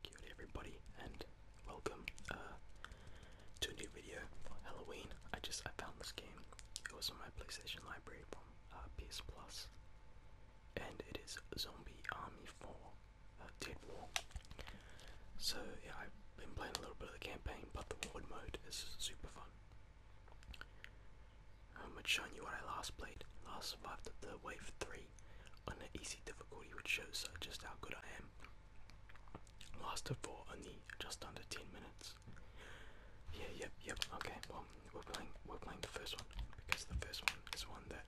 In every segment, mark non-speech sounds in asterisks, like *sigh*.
G'day everybody and welcome uh, to a new video for Halloween. I just I found this game. It was in my PlayStation library uh, PS Plus, and it is Zombie Army 4 uh, Dead War. So yeah, I've been playing a little bit of the campaign, but the ward mode is super fun. I'm um, gonna show you what I last played. Last survived the wave 3 on the easy difficulty, which shows uh, just how good I am. Lasted for only just under 10 minutes. Yeah, yep, yep. Okay, well, we're playing we're playing the first one because the first one is one that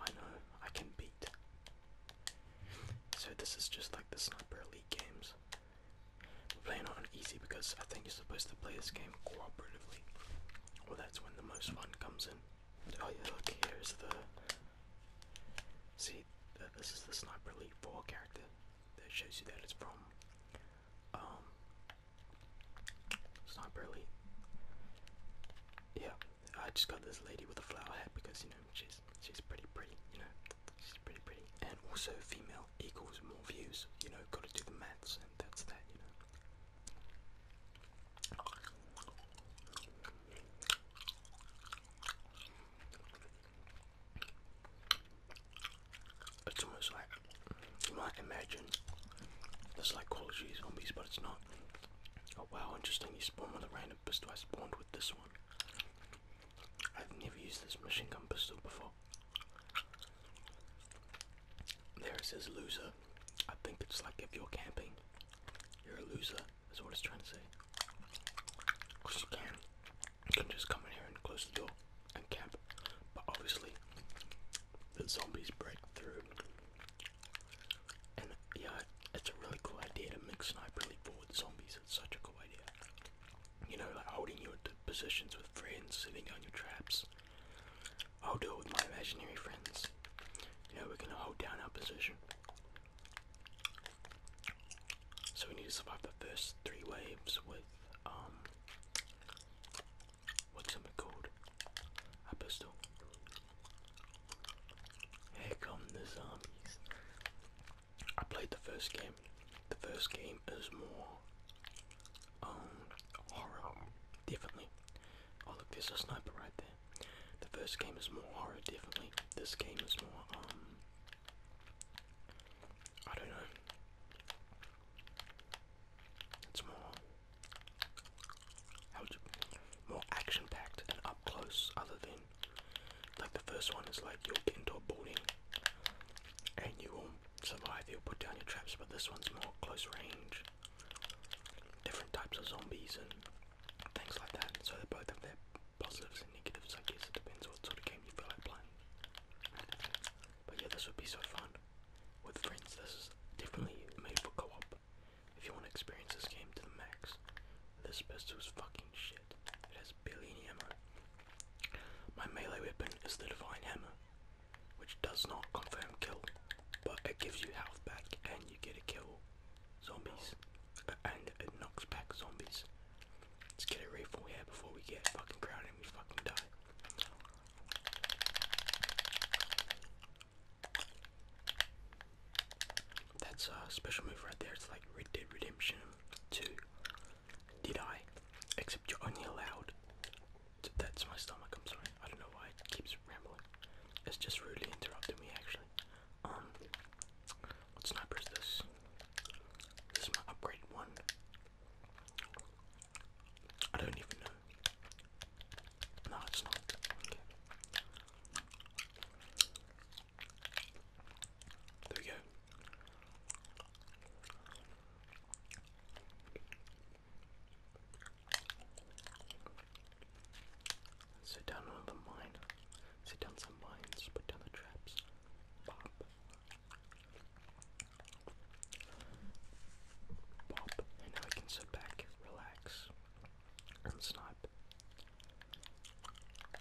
I know I can beat. So this is just like the sniper elite games. We're playing on easy because I think you're supposed to play this game cooperatively. Well, that's when the most fun comes in. Oh yeah, look here's the. See, this is the sniper elite four character that shows you that it's from um, it's not early. Yeah, I just got this lady with a flower hat because you know she's she's pretty pretty. You know, she's pretty pretty. And also, female equals more views. You know, gotta do the maths, and that's that. You know. It's almost like you might imagine it's like Call of Duty Zombies, but it's not. Oh wow, interesting. You spawned with a random pistol. I spawned with this one. I've never used this machine gun pistol before. There it says loser. I think it's like if you're camping, you're a loser, That's what it's trying to say. Because you can just come in here and close the door and camp. But obviously, the zombies break through. And yeah, it's a really cool idea to mix sniper elite really with zombies. It's such a cool idea. You know, like holding you positions with friends, sitting on your traps. I'll do it with my imaginary friends. You we're gonna hold down our position. So we need to survive the first three waves with um what's it called? A pistol. Here come the zombies. I played the first game. The first game is more um horror definitely. Oh look there's a sniper right there. The first game is more horror definitely. This game is more um I don't know. It's more more action packed and up close other than like the first one is like you'll get into and you will survive, you'll put down your traps, but this one's more close range. Different types of zombies and things like that. So they're both their positives and negatives, I guess it depends what sort of game you feel like playing. But yeah, this would be so fun with friends. This is definitely made for co-op. If you want to experience this game to the max, this pistol is fucking shit. It has billion ammo. My melee weapon is the Divine Hammer, which does not confirm kill, but it gives you health back and you get a kill. Zombies. Uh, and it knocks back zombies. Let's get it right from we had before we get fucking crowded and we fucking die. That's a special move right there. It's like Red Dead Redemption 2. Did I? Except you're only allowed. that's my stomach. I'm sorry. I don't know why it keeps rambling. It's just rudely interrupting me actually. Um, what sniper is this? This is my upgrade one. I don't even know. No, it's not. There we go. Sit down another mine. Sit down some mines. Put down the traps. Pop. Pop, and now I can sit back, relax, and snipe.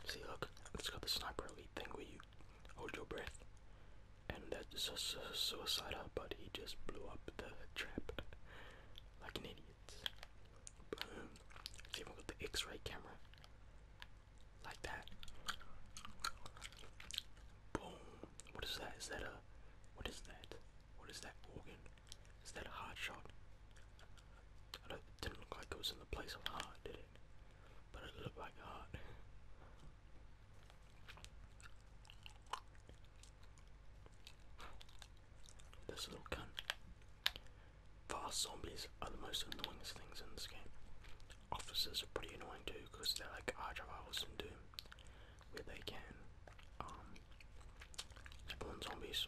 See, look, it's got the sniper elite thing where you hold your breath, and that's a su just blew up the trap *laughs* like an idiot. Boom. It's even got the x ray camera like that. Boom. What is that? Is that a what is that? What is that organ? Is that a hard shot? it didn't look like it was in the place of heart, did it? But it looked like heart. This little gun. Fast zombies are the most annoying things in this game officers are pretty annoying too because they're like our rivals in Doom, where they can um, spawn zombies.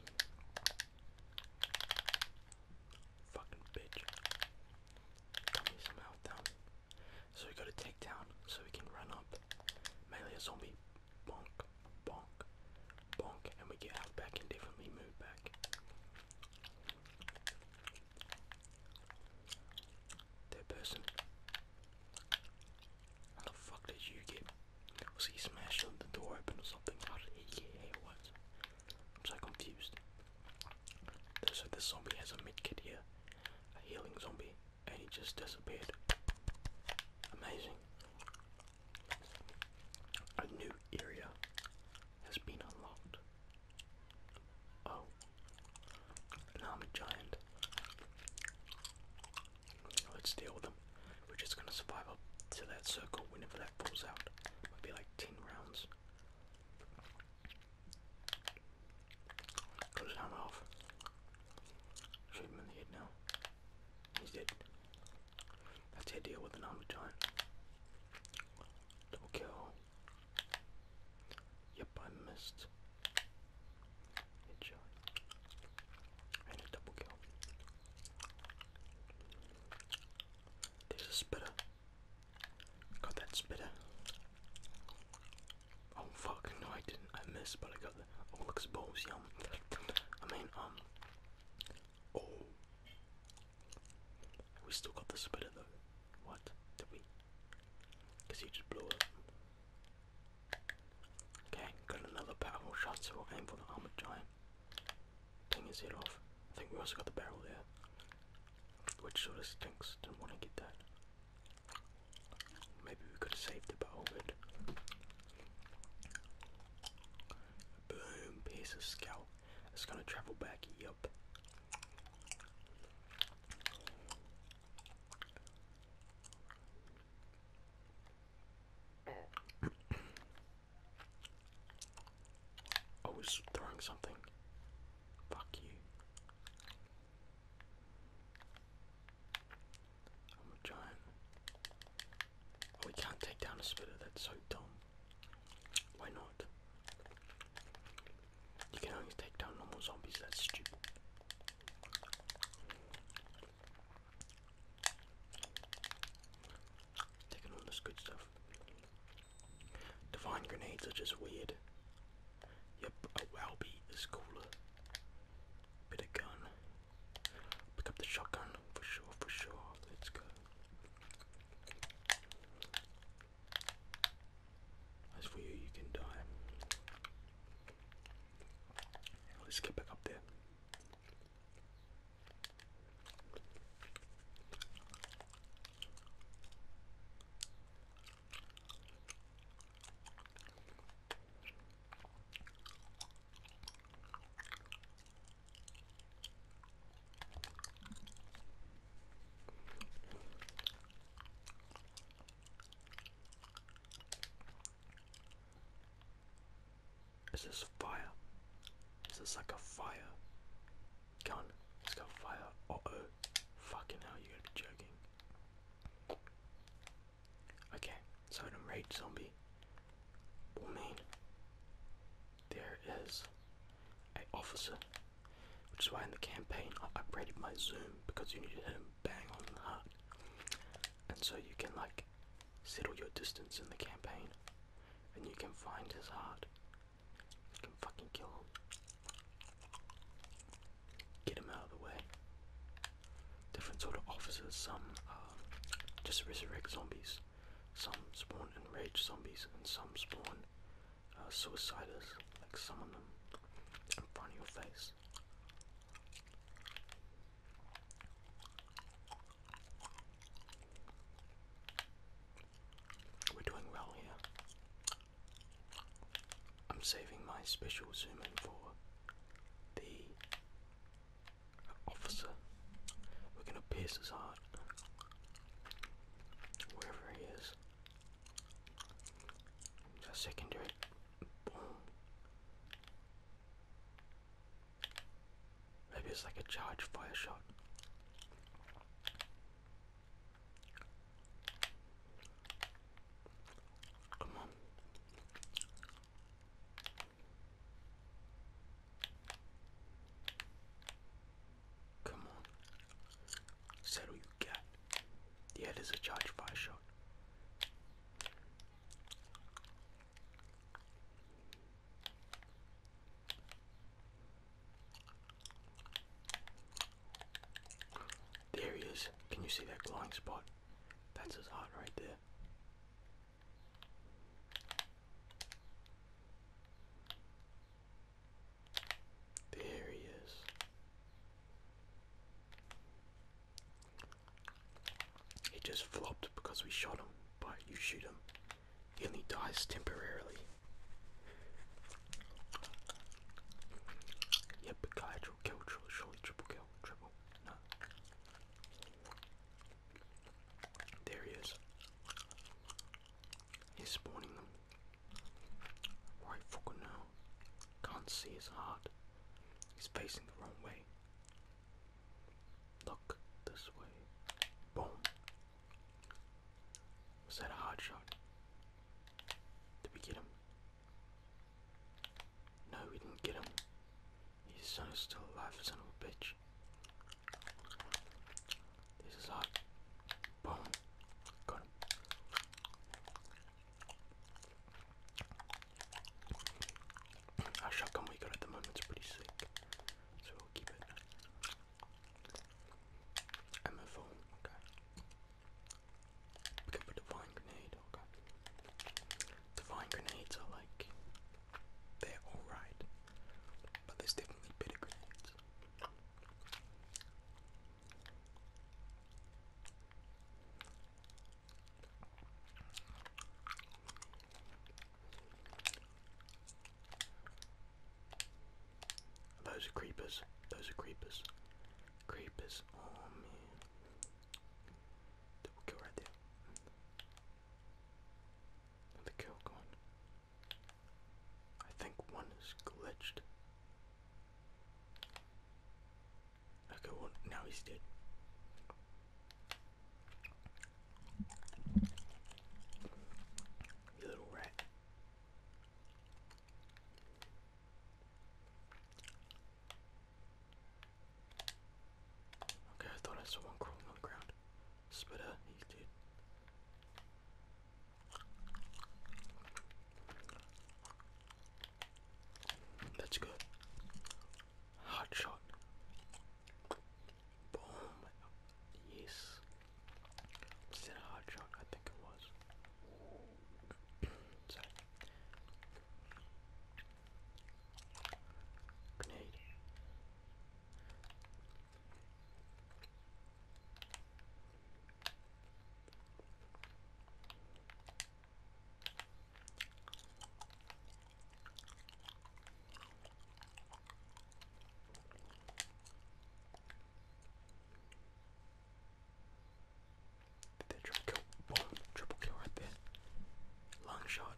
Fucking bitch. Dummy somehow down. So we gotta take down so we can run up. Melee a zombie. Bonk, bonk, bonk. And we get out back and definitely move back. Third person. How the fuck did you get? Was he smashed the door open or something? How did he get What? I'm so confused. So this zombie has a medkit here, a healing zombie, and he just disappeared. Amazing. A new area has been unlocked. Oh, now i giant. Let's deal with them. We're just gonna survive up to that circle whenever that falls out. Might be like 10 rounds. Cut his off. Shoot him in the head now. He's dead. That's the idea with an armored giant. Double Yep, I missed. Headshot. And a double kill. There's a spitter. Got that spitter. Oh fuck, no I didn't. I missed, but I got the oh I mean, um Oh we still got the splitter though. What? Did we? Because he just blew up. Okay, got another powerful shot, so we'll aim for the armored giant. Dang his head off. I think we also got the barrel there. Which sort of stinks. do not want to get that. Maybe we could have saved it, but all Boom, piece of scalp. It's gonna travel back, yup. I was throwing something. Fuck you. I'm a giant. Oh, we can't take down a spitter, that's so dumb. Why not? You can only take down normal zombies, that's stupid. Taking all this good stuff. Divine grenades are just weird. Yep, a Wowby is cooler. Bit of gun. Pick up the shotgun for sure, for sure. Let's go. As for you, you can die. Let's get back up there. This Is this fire? Is like a fire gun? It's got fire. Oh oh. Fucking hell, you gotta be joking. Okay, so I'm enraged zombie. Will mean there is a officer, which is why in the campaign I upgraded my zoom because you need to hit him bang on the heart, and so you can like settle your distance in the campaign, and you can find his heart. You can fucking kill him. Get him out of the way. Different sort of officers. Some just resurrect zombies. Some spawn enraged zombies and some spawn uh, suiciders, like some of them in front of your face. We're doing well here. I'm saving my special zoom in for the officer. We're gonna pierce his heart. Wherever he is. That secondary. Boom. Maybe it's like a charge fire shot. Come on. Come on. Settle you cat. Yeah, there's a charge fire shot. There he is. Can you see that glowing spot? That's his heart right there. There he is. He just flopped because we shot him, but you shoot him. He only dies temporarily. Yep, guy, triple kill, triple, surely triple kill, triple, There he is. He's spawning them. Right fucking now. Can't see his heart. He's facing the wrong way. Look this way. Boom. Was that a hard shot? Did we get him? No, we didn't get him. His son is still alive, son of a bitch. This is hot. Boom. Got him. Our shotgun we got at the moment is pretty sick, so we'll keep it. And okay. We can put vine grenade, okay. The vine grenades are like they're alright, but there's definitely better grenades. Those are creepers. Those are creepers. Creepers. Oh me. Double kill right there. Another kill gone. I think one is glitched. Okay, well, now he's dead. You little rat. Okay, I thought I saw one crawling on the ground. Spitter, he's dead. That's good. Hot shot. Boom. Yes. Was a hot shot? I think it was. *clears throat* Did that triple kill, Whoa, triple kill right there. Long shot.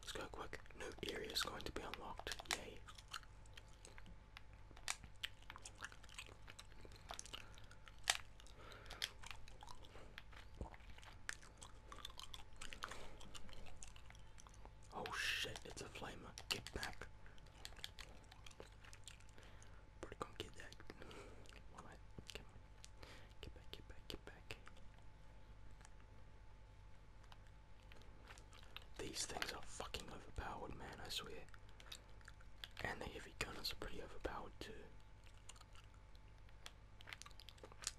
Let's go quick. New area is going to be unlocked. Yay. Oh shit, it's a flamer. Get back. Probably gonna get that. Well, Get back, get back, get back. These things are fucking overpowered, man, I swear. And the heavy guns are pretty overpowered too.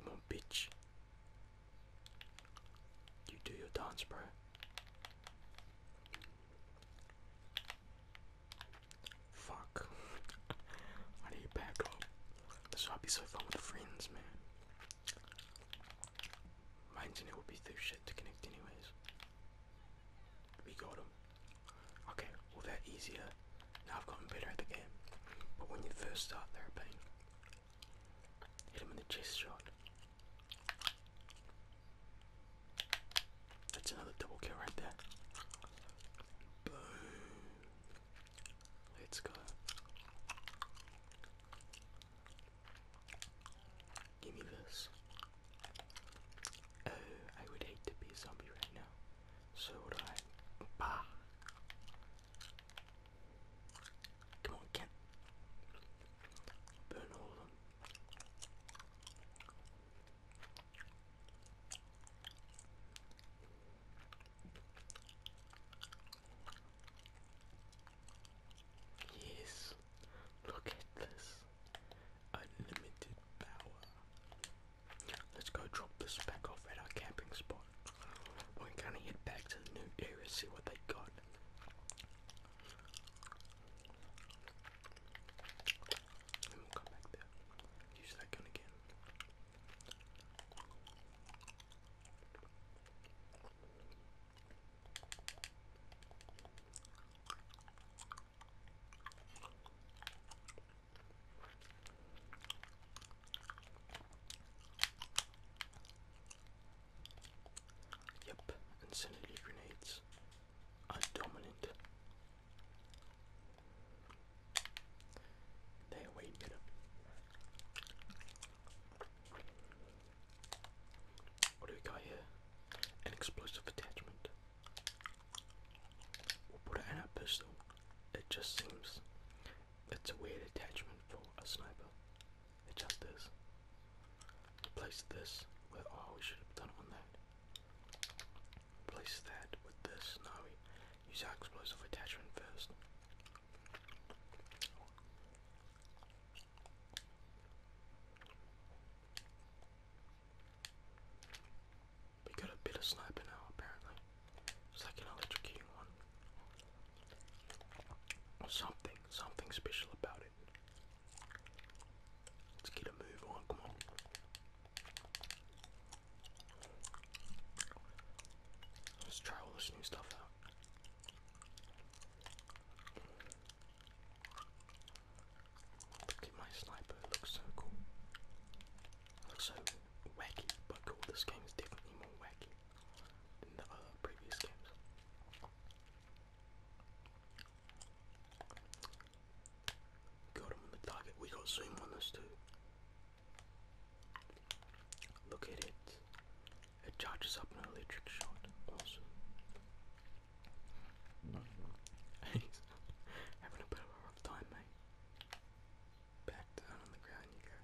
Come on, bitch. You do your dance, bro. Fuck. *laughs* I need back this would be so fun with friends, man. My internet will be through shit to connect anyways. We got him. Okay, well that easier. Now I've gotten better at the game. But when you first start, they're Hit him in the chest shot. That's another double kill right there. Boom. Let's go. Give me this. Oh, I would hate to be a zombie right now. So would I. Bah! Come on, Ken. Burn all of them. Yes, look at this unlimited power. Let's go drop this back off at our camping spot. We're gonna head back to the new area, see what they got. And we'll come back there. Use that gun again. Yep, incendiary grenades are dominant. There. wait a minute. What do we got here? An explosive attachment. We'll put it in a pistol. It just seems it's a weird attachment for a sniper. It just is. Place this where oh we should have done on that. Place that with this. No, use our explosive attachment first. We got a better sniper now, apparently. It's like one. something, something special about it. Let's get a move on, come on. Let's try all this new stuff out. Look at my sniper, looks so cool. looks so wacky, but cool. This game is definitely more wacky than the other previous games. Got him on the target. We got zoom on this too. Look at it. It charges up an electric shot. Awesome. *laughs* having a bit of a rough time, mate. Back down on the ground you go.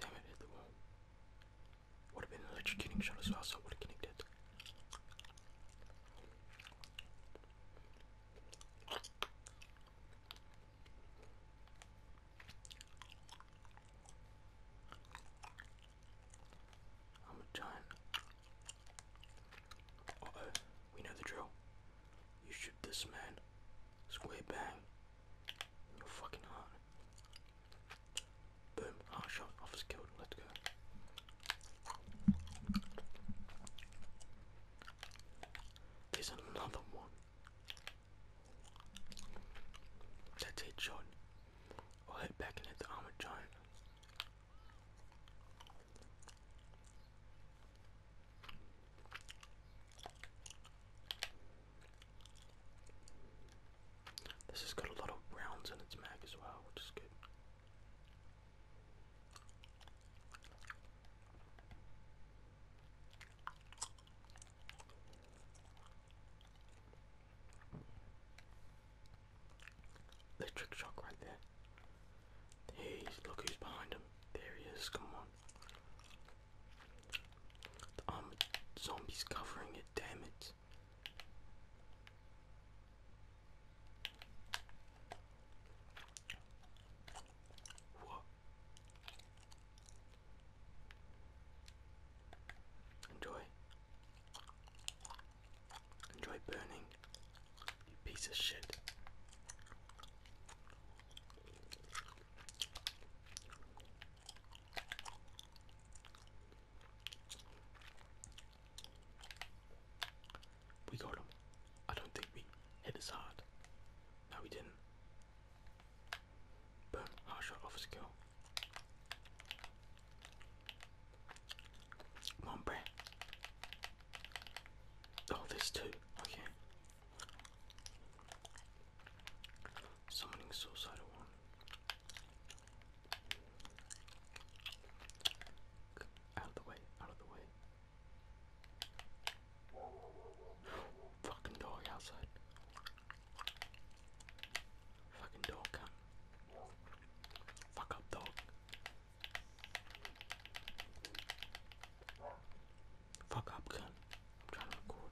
Damn it, would have been an electrocuting shot as well, so it would have connected. I'm a we know the drill. You shoot this man. Square bang you fucking hot. Boom. Ah, shot. Officer killed. Let's go. There's another one. That's it, John. I'll head back and hit the armored giant. This has got a lot of rounds in its mag as well, which is good. Electric shock right there. He's look who's behind him. There he is, come on. The armored um, zombie's covering it, damn it. Enjoy. Enjoy burning, you piece of shit. We got him. I don't think we hit as hard. No, we didn't. Boom, hard shot off a skill. Come on, Oh, there's two. Okay. Summoning suicidal one. Out of the way, out of the way. Fucking dog outside. Fucking dog, Fuck up, dog. Fuck up, gun. trying to record.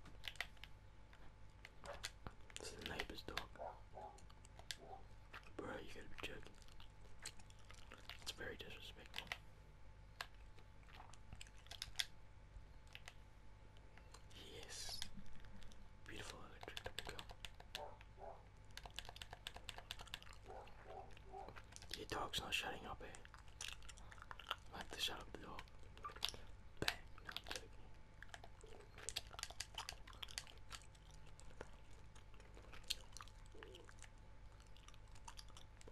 This is the neighbor's dog. Bro, you gotta be joking. It's very disrespectful. Yes. Beautiful electric double kill. Your dog's not shutting up, eh? Like the shot of the dog. Bang, I'm joking.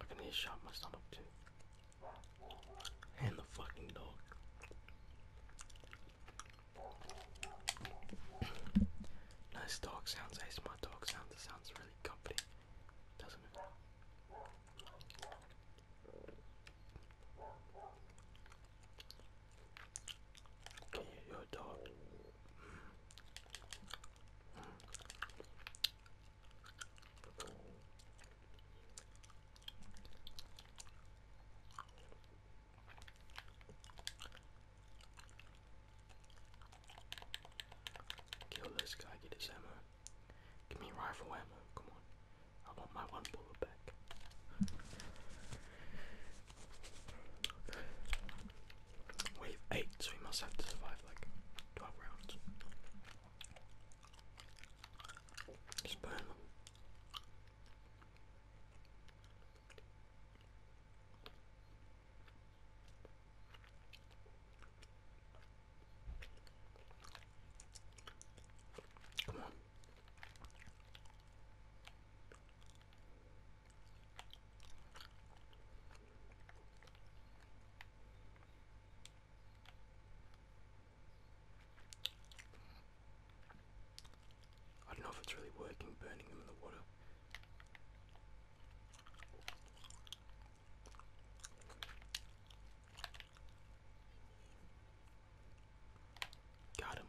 I can hear shot my stomach too. And the fucking dog. *coughs* nice dog sounds, eh? ace my dog sounds, it sounds really comfy, doesn't it? Can you hear a dog? Kill this guy, get his ammo. Give me rifle ammo, come on. I want my one bullet back. Wave 8, so we must have to survive like 12 rounds. Just them. Come on. I don't know if it's really working burning them in the water. Got him.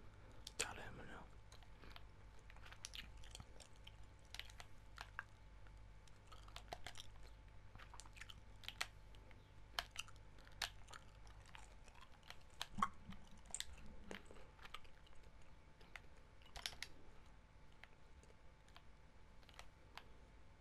Got him now.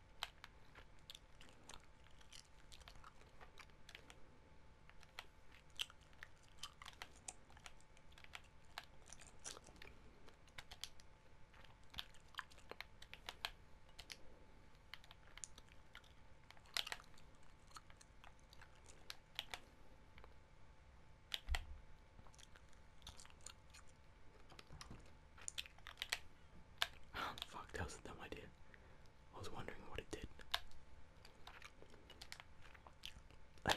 *gasps* Fuck, that was a dumb idea. I was wondering what it did. Hey,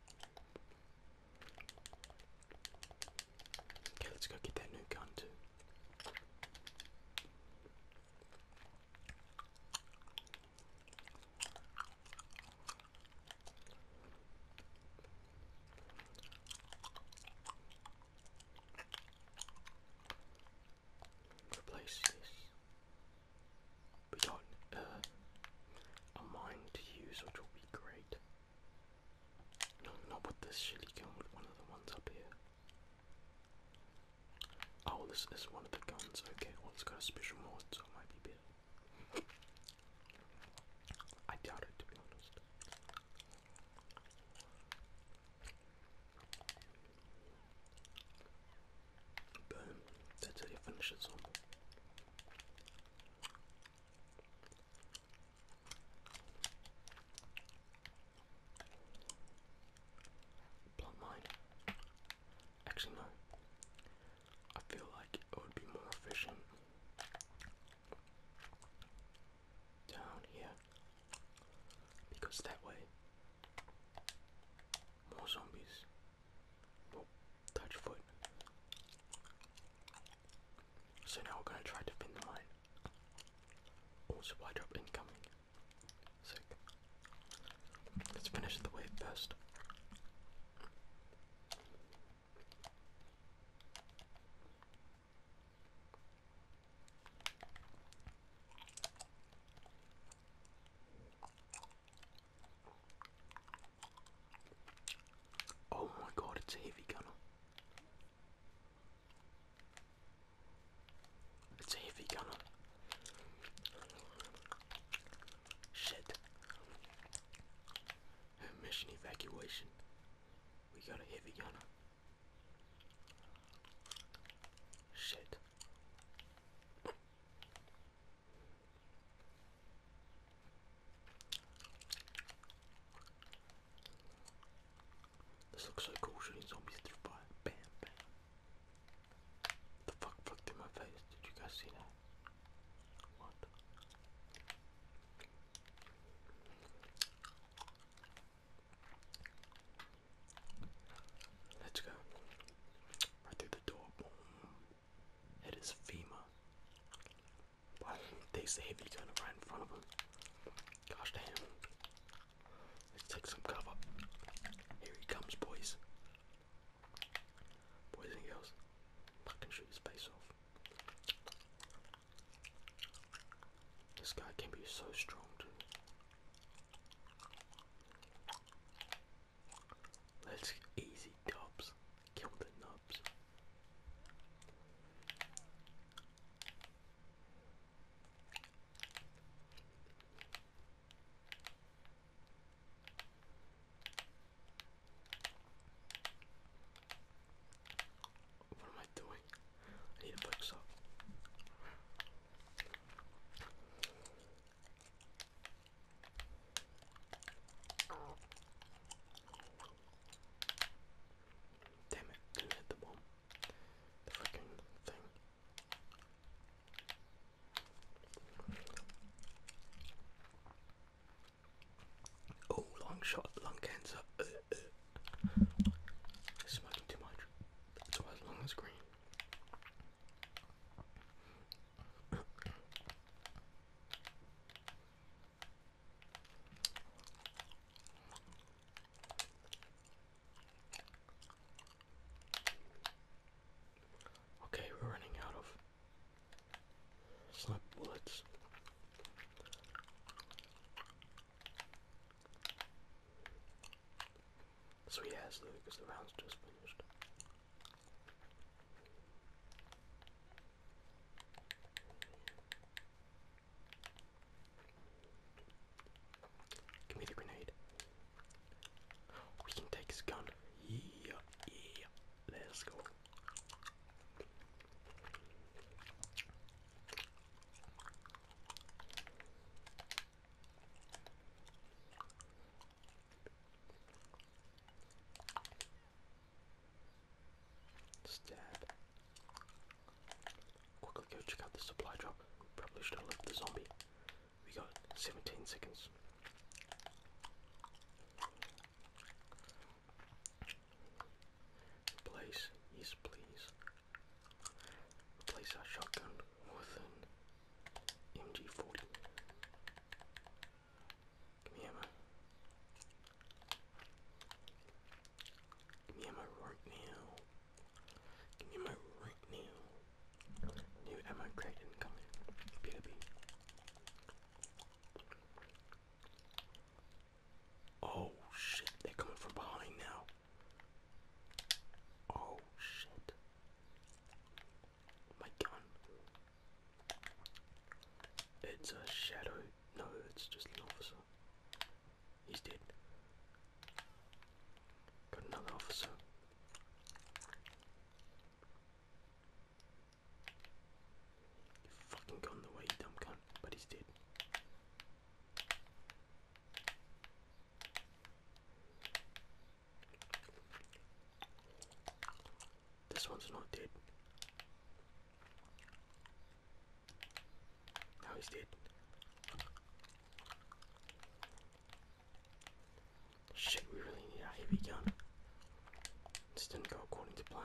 Okay, let's go get that new gun too. Replace this. We got uh, a mine to use, which will be great. not with this shitty gun, one of the ones up here. Oh, this is one of the guns. Okay, well, got a special mod, so it might be better. I doubt it, to be honest. Boom. That's how you finish it, zombie. Blunt Actually, no. I feel like it would be more efficient down here because that way more zombies Oh, touch foot. So now we're gonna try to pin the line. Oh, supply drop incoming. Sick. Let's finish the wave first. Oh my god, it's a heavy gunner. It's a heavy gunner. Shit. Mission evacuation. We got a heavy gunner. Shit. This looks so cool shooting zombies through fire. Bam, bam. The fuck fucked through my face? Did you guys see that? What? Let's go. Right through the door. It is FEMA. Why takes the heavy gunner right in front of him? Gosh damn. Let's take some cover. Here he comes, boys. Boys and girls. Fucking shoot his face off. This guy can be so strong, too. Let's easy dubs. Kill the nubs. What am I doing? I need to fix up. Damn it, didn't hit the bomb. The freaking thing. Oh, long shot, lung cancer. Uh, uh. Smoking too much. That's why it's long as green. Okay, we're running out of slip bullets. So he because the round's just finished. Give me the grenade. We can take his gun. Yeah, yeah. Let's go. Stab. Quickly go check out the supply drop. Probably should have left the zombie. We got 17 seconds. Replace, yes please. Replace our shotgun with MG40. Give me ammo. Give me ammo right now. Give me ammo right now. New ammo crate incoming. Better be. Oh shit, they're coming from behind now. Oh shit my gun. It's a shadow. No, it's just an officer. He's dead. Got another officer. fucking gone the way, dumb cunt, but he's dead. This one's not dead. Now he's dead. Shit, we really need a heavy gun. This didn't go according to plan.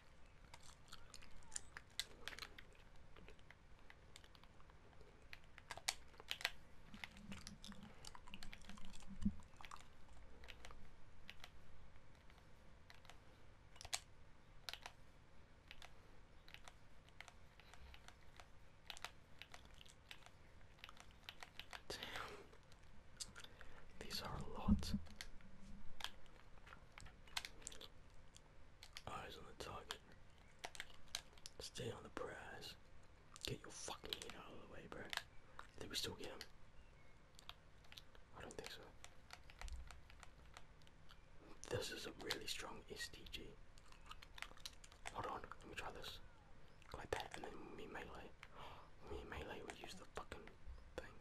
Damn. These are a lot. Eyes on the target. Stay on the prize. Get your fucking head out of the way, bro. Did we still get him? I don't think so. This is a really strong SDG. Hold on, let me try this. Like that, and then me melee. Me melee would use the fucking thing.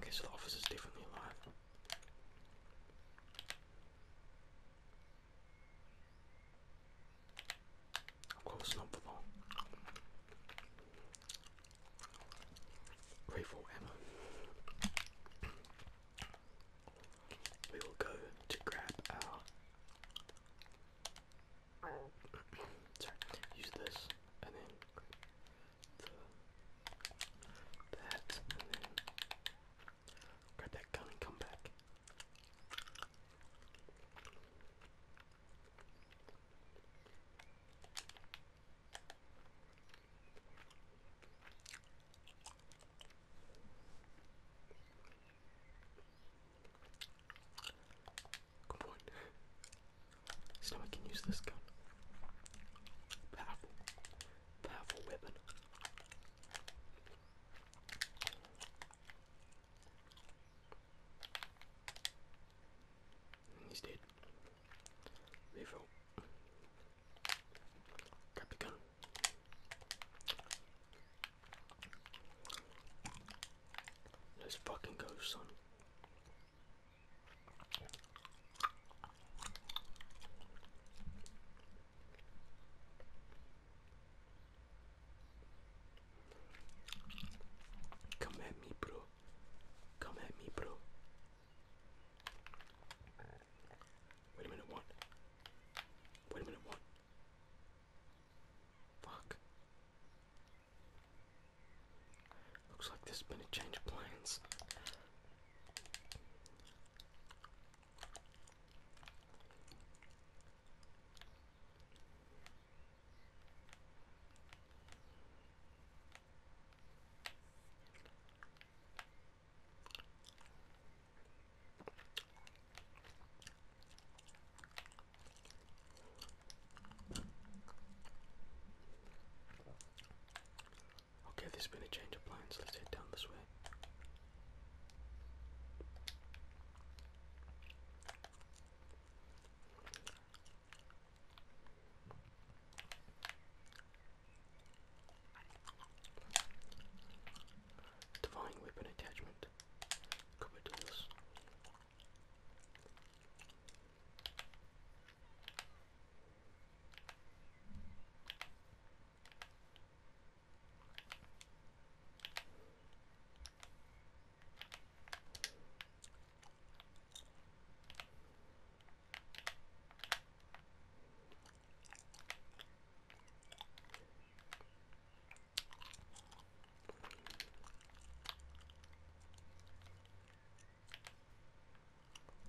Okay, so the office is definitely alive. Of course, not for long. Rifle ammo. We will go to grab our Sorry. Use this and then grab the that and then grab that gun and come back. Come on. now I can use this gun. Powerful. Powerful weapon. He's dead. Refill. Grab the gun. Let's fucking go, son. Come at me, bro. Come at me, bro. Wait a minute, what? Wait a minute, what? Fuck. Looks like there's been a change of plans. Okay, there's been a change of plans. Let's head down this way. Divine weapon attachment perfect. Copy to this.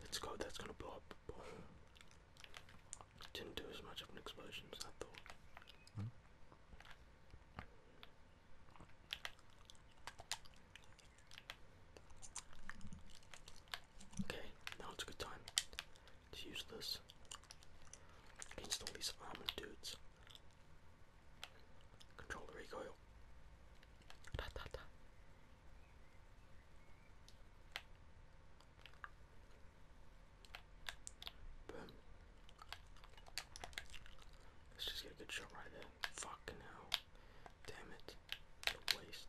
Let's go, that's gonna blow up. Didn't do as much of an explosion as I thought. Okay, now it's a good time to use this against all these armored dudes. Control the recoil. Boom. Let's just get a good shot right there. Fucking hell. Damn it. waste.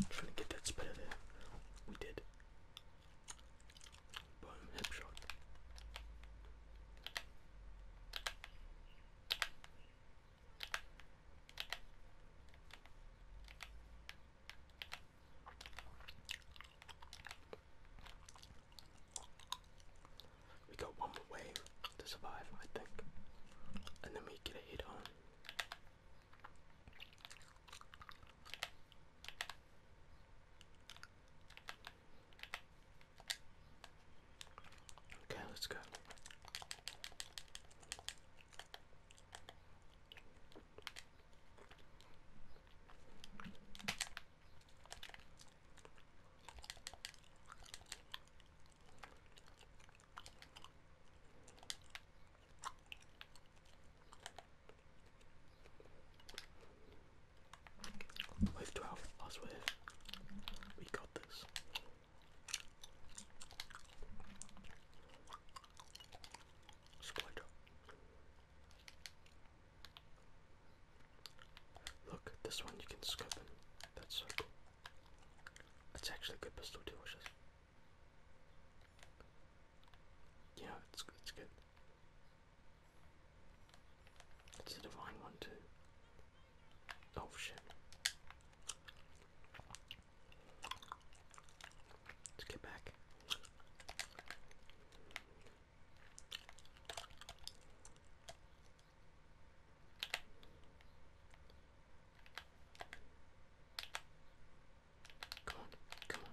I'm trying to get that spitter there. We did. Boom, hip shot. We got one more wave to survive, I think. And then we get a hit on. Okay, let's go. Wave 12, last wave. We got this. Spider. Look, this one you can scope That's cool. That's actually a good pistol too, which yeah, it's it's good. It's a divine one too. Oh shit. Let's get back. Come on, come on,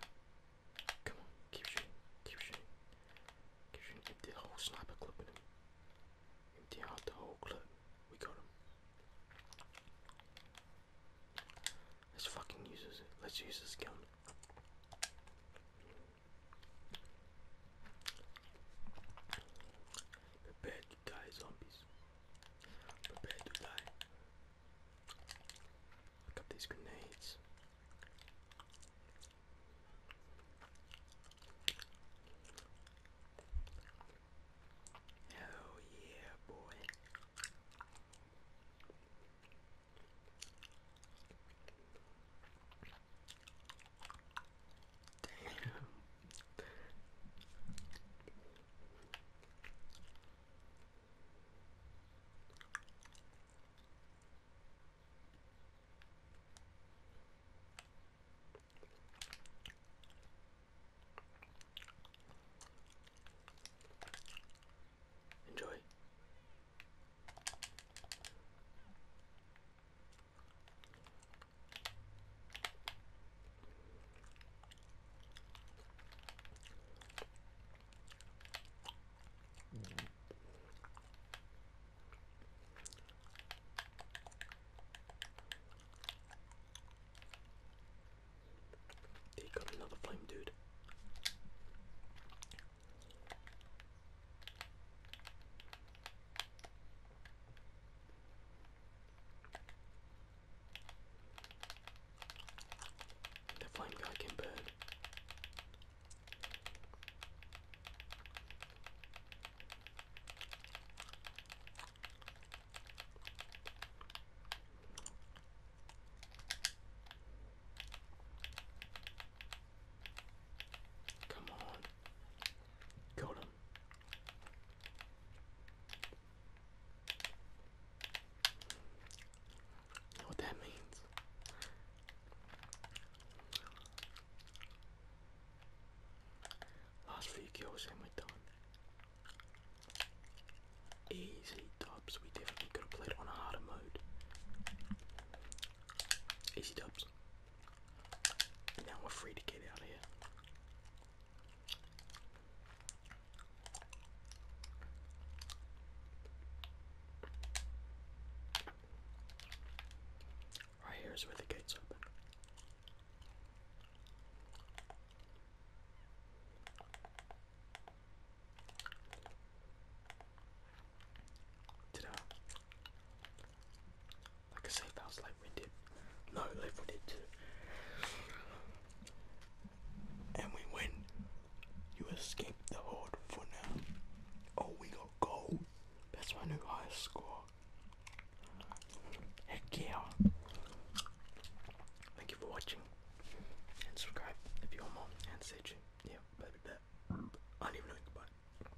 come on, keep shooting, keep shooting, keep shooting, empty the whole sniper clip in him. Empty out the whole clip, we got him. Let's fucking use this, let's use this gun. Prepare to die, zombies. Prepare to die. Pick up these grenades. Oh yeah, boy. Damn. Enjoy. They got another flame, dude. The flame guy can burn. Come on. Got him what that means? Last few kills and we done. Easy dubs. We definitely could have played on a harder mode. Easy dubs now we're free to get out of here. Right here is where the gates open. ta like I say, that was light-winded. No, light-winded too. And we win. You escaped the horde for now. Oh, we got gold. That's my new highest score. Heck yeah. Thank you for watching. And subscribe if you want more. And stay Yeah, baby, bet. I don't goodbye.